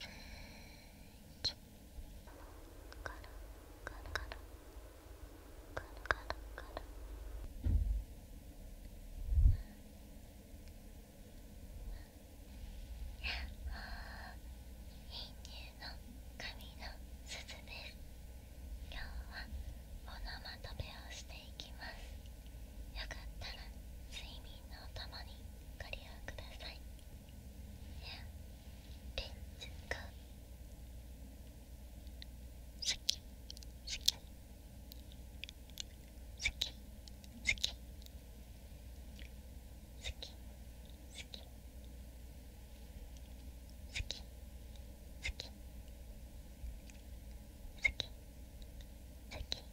今日はオノマトをしていきますよかったら睡眠のお供にご利用ください。レンズが好き好き好き好き好き好き好き好き好き好き好き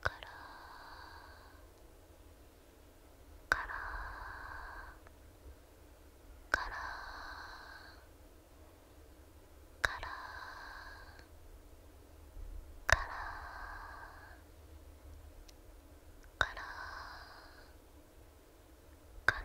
から。から。から。から。から。ラーカラ